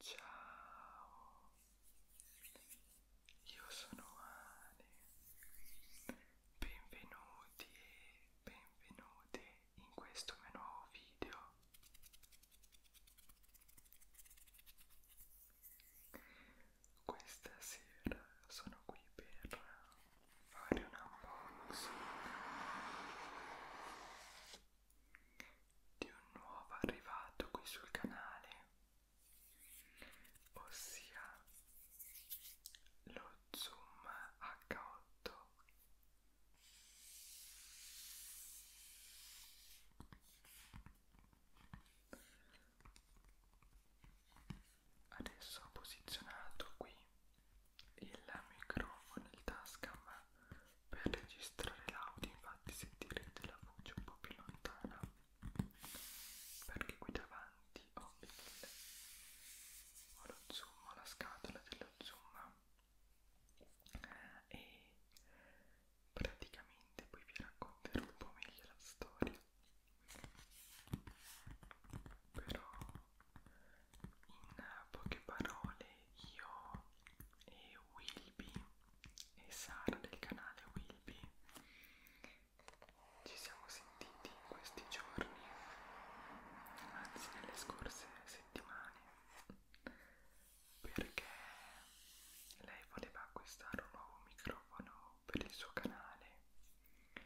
Ciao, io sono Ale, benvenuti e benvenute in questo mio nuovo video. Questa sera sono qui per fare un unboxing di un nuovo arrivato qui sul canale, ossia lo Zoom H8. Adesso ho posizionato qui il microfono, il tascam per registrare l'audio infatti sentirete la voce un po' più lontana perché qui davanti ho, il, ho lo zoom, ho la scatola dello zoom e praticamente poi vi racconterò un po' meglio la storia però in poche parole io e Wilby e Sara del canale Wilby ci siamo sentiti in questi giorni anzi nelle scorse settimane perché lei voleva acquistare un nuovo microfono per il suo canale e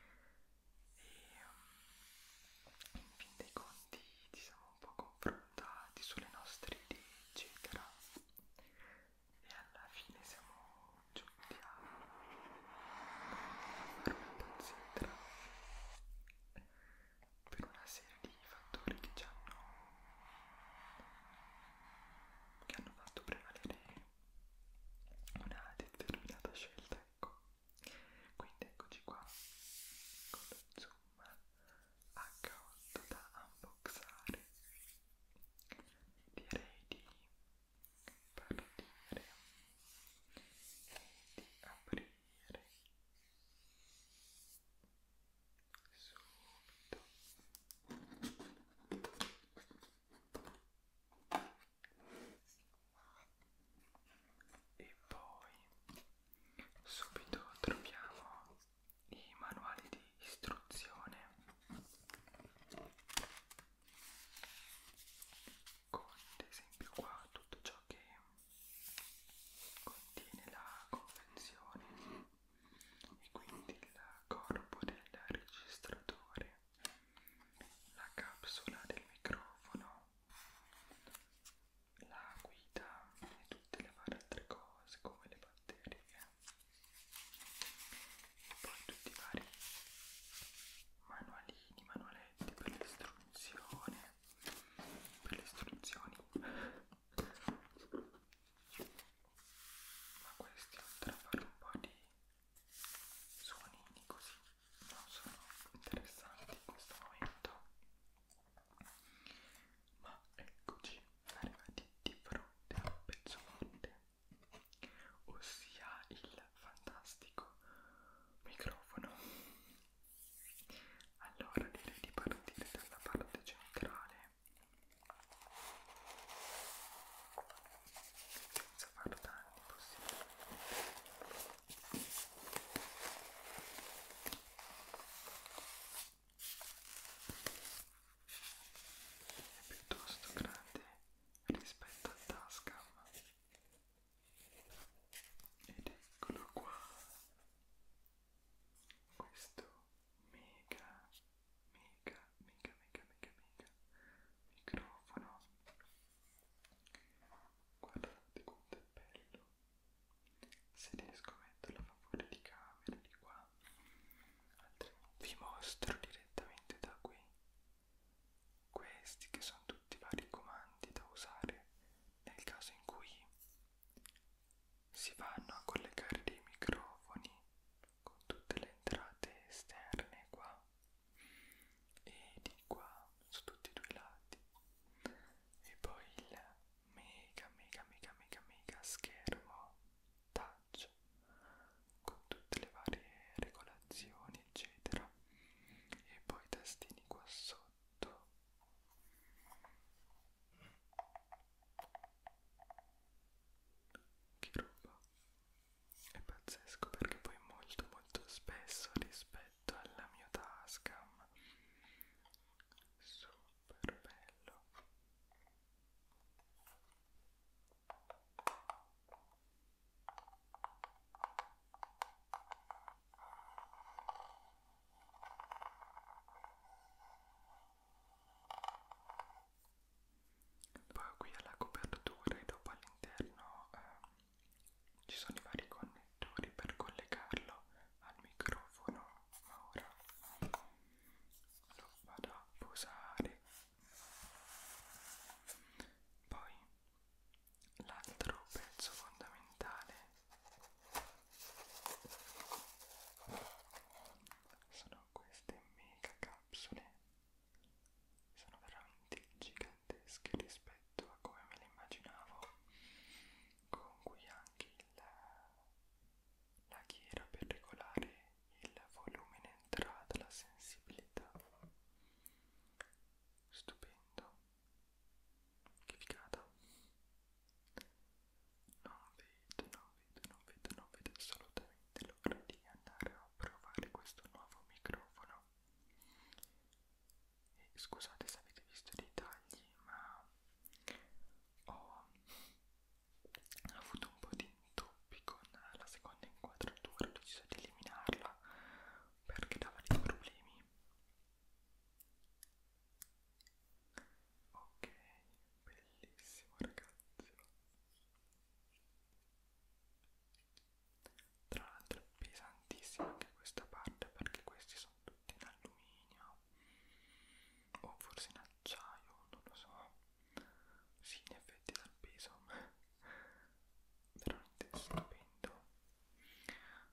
mm, in fin dei conti quindi ci siamo un po' confrontati sulle nostre idee eccetera e alla fine siamo giunti a fare una pazzetta per una serie di fattori che ci hanno che hanno fatto prevalere una determinata scelta ecco quindi eccoci qua con lo zoom H8 da unboxare direi di partire e di aprire subito e poi subito troviamo i manuali di istruzione con ad esempio qua tutto ciò che contiene la convenzione e quindi il corpo del registratore la capsula del microfono la guida e tutte le varie altre cose come le batterie e poi tutti i vari manualini, manualetti per l'istruzione per le istruzioni ma questi oltre a fare un po' di suonini così non sono interessanti in questo momento ma eccoci arrivati di fronte a Pezzomonte ossia il fantastico microfono allora direi di partire dalla parte centrale senza far danni possibilmente è piuttosto grande rispetto al Tascam ed eccolo qua questo mega mega mega mega mega mega microfono guardate quanto è cappello se riesco a metterlo a favore di camera di qua altrimenti vi mostro direttamente da qui questi che sono tutti i vari comandi da usare nel caso in cui si vanno a collegare dei microfoni con tutte le entrate esterne qua e di qua su tutti e due i lati e poi il mega mega mega mega mega schermo touch con tutte le varie regolazioni eccetera e poi i tastini qua sotto che roba è pazzesco perché poi molto molto spesso rispetto rispetto alla mia Tascam super bello poi qui alla copertura e dopo all'interno ehm, ci sono i vari connettori per collegarlo al microfono ma ora lo vado a posare poi l'altro pezzo fondamentale sono queste mega capsule sono veramente gigantesche tedesche rispetto a come me le immaginavo, con cui anche il, la ghiera per regolare il volume in entrata, la sensibilità. Stupendo, che figata! Non vedo, non vedo, non vedo, non vedo assolutamente l'ora di andare a provare questo nuovo microfono e scusate se avete visto dei tagli, ma ho avuto un po' di intoppi con la seconda inquadratura, ho deciso di eliminarla perché dava dei problemi. Ok, bellissimo ragazzi. Tra l'altro è pesantissima anche questa parte perché questi sono tutti in alluminio o forse in acciaio, non lo so. Sì, in effetti dal peso, veramente stupendo.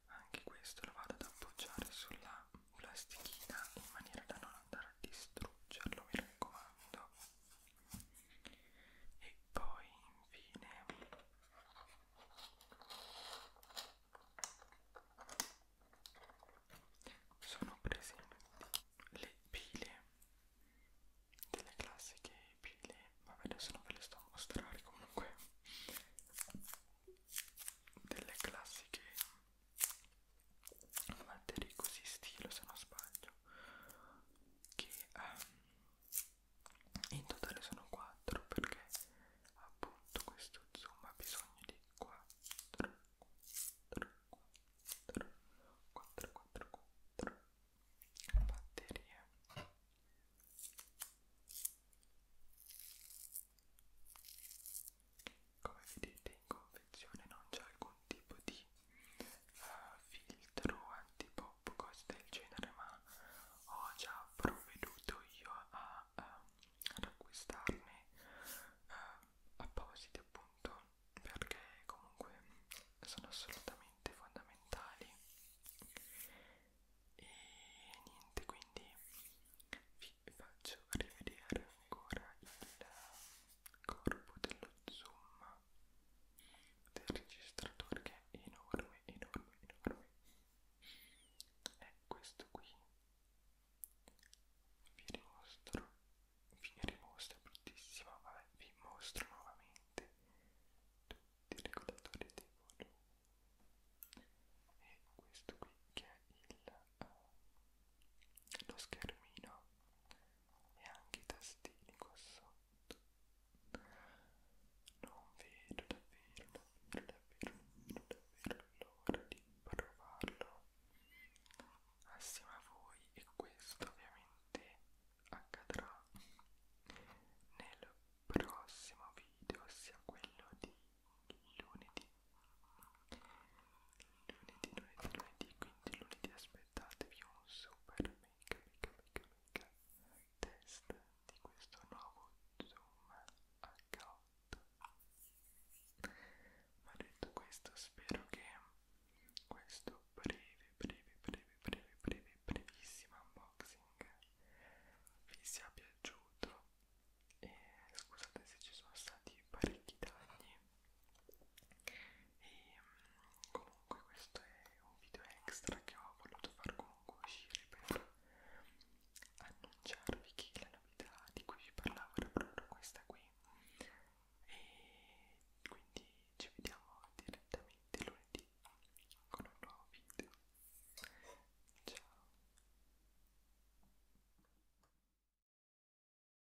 Anche questo lo vado ad appoggiare sulla plastichina in maniera da non andare a distruggerlo, mi raccomando e poi infine sono presenti le pile delle classiche pile vabbè adesso non ve le sto a mostrare comunque delle classiche batterie così stile se non sbaglio che um, in totale sono 4 perché appunto questo zoom ha bisogno di 4 4 4 4 4 4 batterie come vedete in confezione non c'è alcun tipo di uh, filtro antipop, cose del genere, ma ho già provveduto io a, uh, ad acquistarne uh, appositi appunto perché comunque sono assolutamente fondamentali e niente quindi vi faccio rivedere ancora il corpo dello zoom del registratore che è enorme, enorme, enorme è questo qui vi dimostro vi dimostro è bruttissimo vabbè vi mostro nuovamente tutti i regolatori dei volume e questo qui che è il, uh, lo schermino e anche i tastini qua sotto non vedo davvero davvero davvero davvero l'ora di provarlo assieme a voi e questo ovviamente accadrà nel prossimo video ossia quello di lunedì lunedì, lunedì, lunedì, quindi lunedì aspettatevi un super mega mega mega mega test di questo nuovo Zoom H8 ma detto questo spero che questo breve breve breve breve breve brevissimo unboxing vi sia piaciuto e scusate se ci sono stati parecchi danni e mm, comunque questo è un video extra che ho voluto far comunque uscire per annunciarvi che la novità di cui vi parlavo era proprio questa qui e quindi ci vediamo direttamente lunedì con un nuovo video ciao